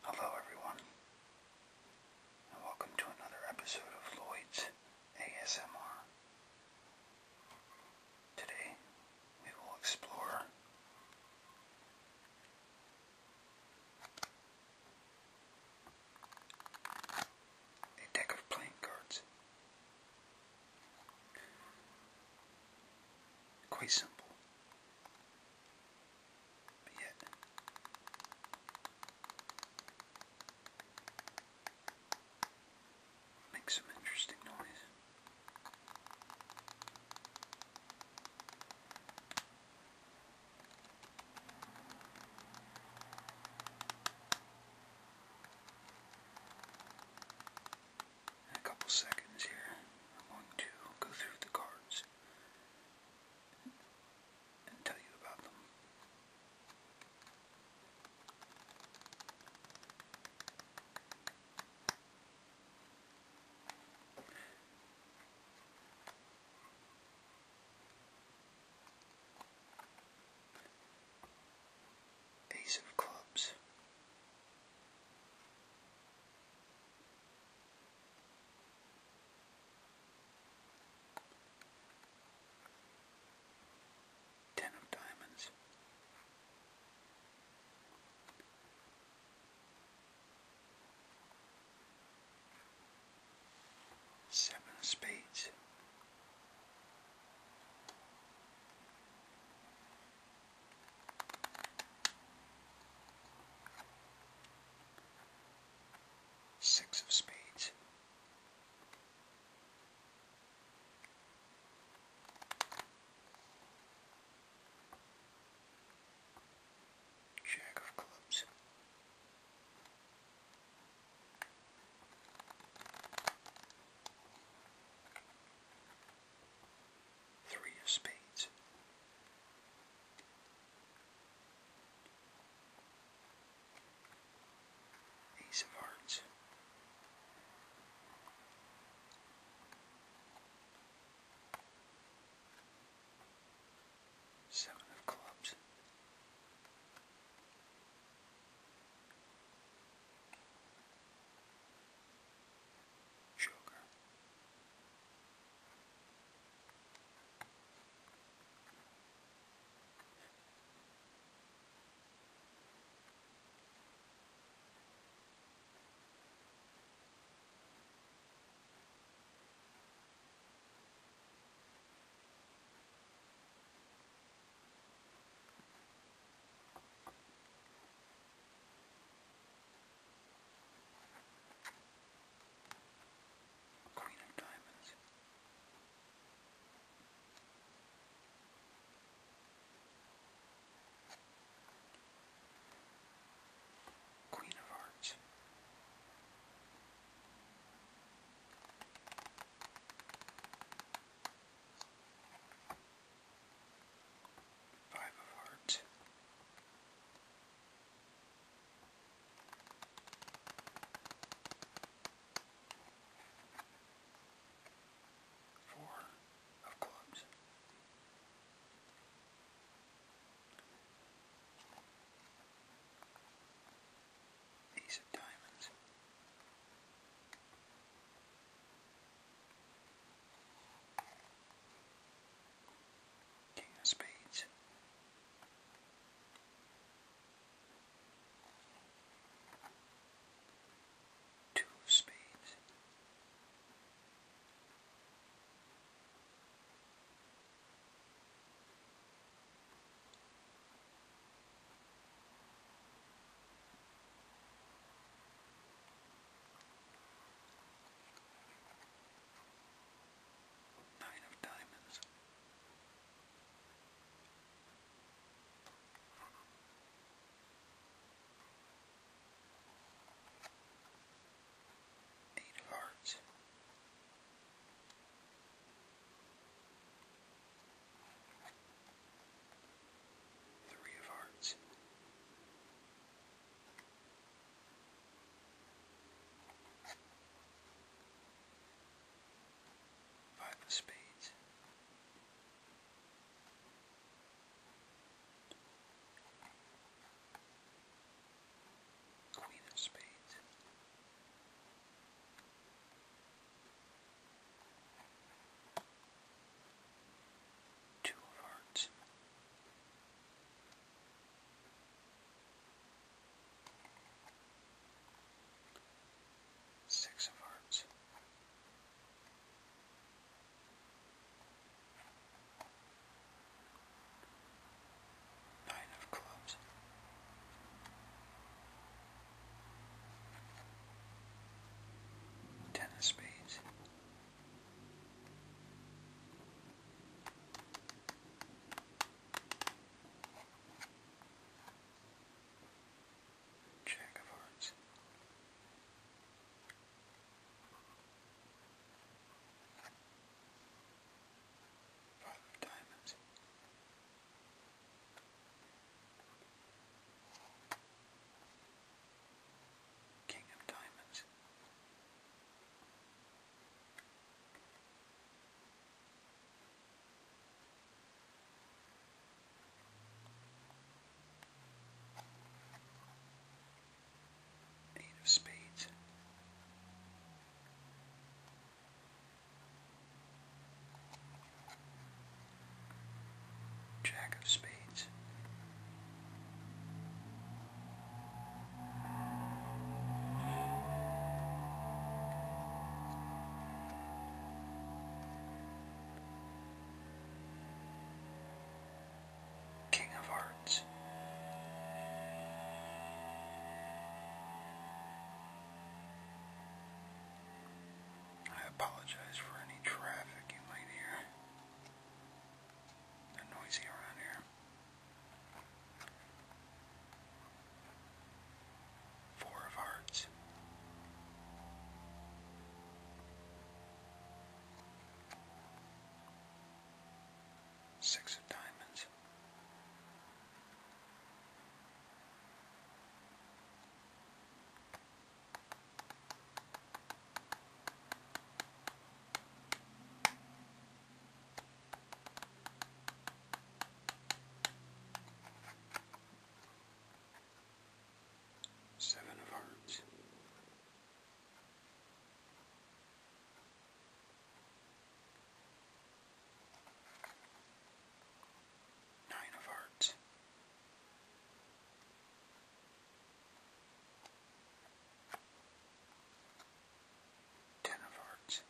Hello, everyone, and welcome to another episode of Lloyd's ASMR. Today, we will explore a deck of playing cards. Quite simple. But yet, makes some interesting noise in a couple seconds here, I'm going to go through the cards and tell you about them. Ace of Clubs. Ten of Diamonds. Seven of Spades. Six of spades. Jack of clubs. Three of spades. Ace of hearts. Seven of clubs sugar. Queen of Diamonds. Queen of Hearts. Five of Hearts. Four of clubs. Ace of diamonds. King of Spades. Two of Spades. Nine of diamonds. Eight of hearts. Three of hearts. Back the speed. Queen of Spades. Two of Hearts. Six of Hearts. Nine of Clubs. Ten of Spades. Jack of Hearts. Five of Diamonds. King of Diamonds. Eight of spades. Jack of spades. King of Hearts. I apologize for any traffic in late here. They're noisy around here. Four of hearts. Six of diamonds. Seven of Hearts. Nine of Hearts. Ten of Hearts.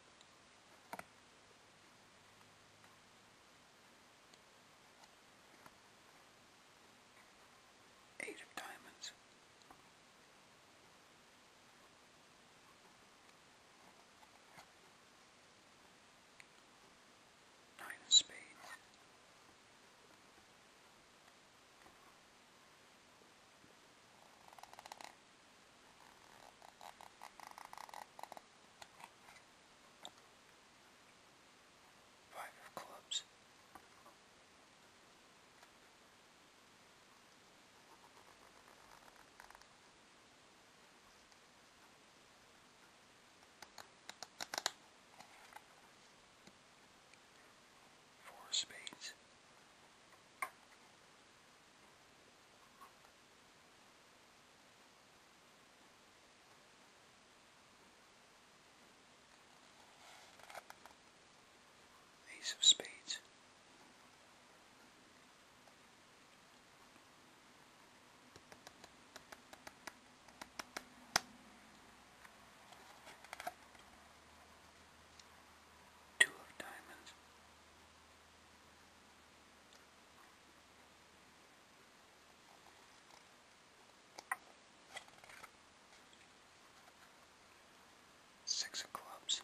Eight of Diamonds. Nine of Spades. Five of clubs. Four spades. Ace of spades. Two of diamonds. Six of clubs.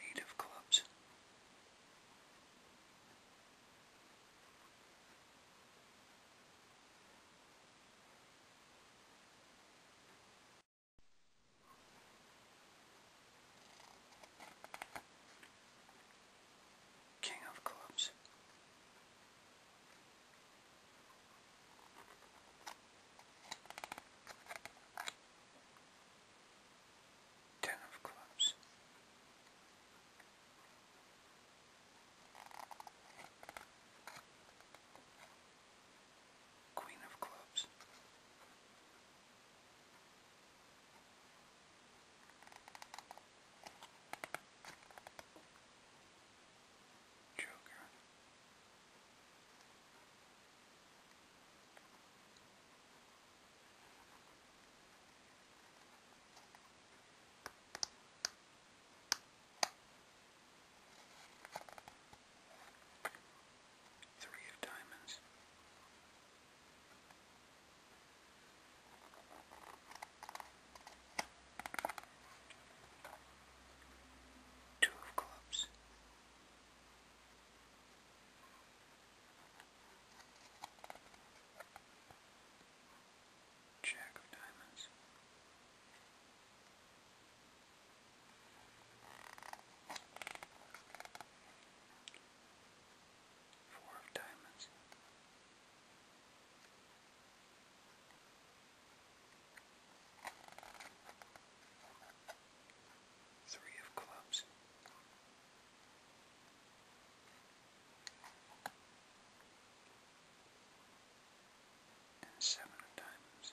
Eight of clubs. King of clubs. Ten of clubs. Queen of clubs. Joker. Three of diamonds, Two of clubs. Jack of diamonds. Four of diamonds. Three of clubs. And seven of diamonds.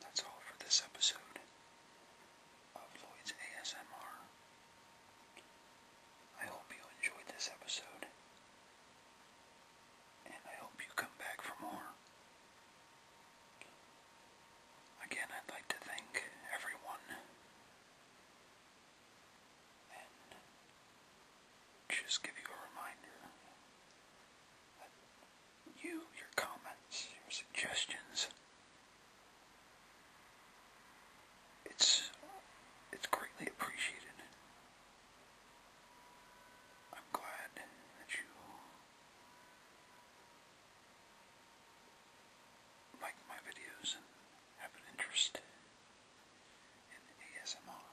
that's all for this episode of Lloyd's ASMR. I hope you enjoyed this episode, and I hope you come back for more. Again, I'd like to thank everyone and just give you a reminder that you, your comments, your suggestions, it's it's greatly appreciated. I'm glad that you like my videos and have an interest in ASMR,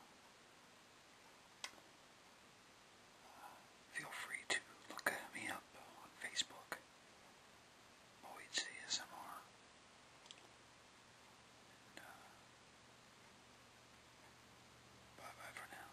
feel free to look me up on Facebook, Boyd's ASMR. Uh, bye bye for now.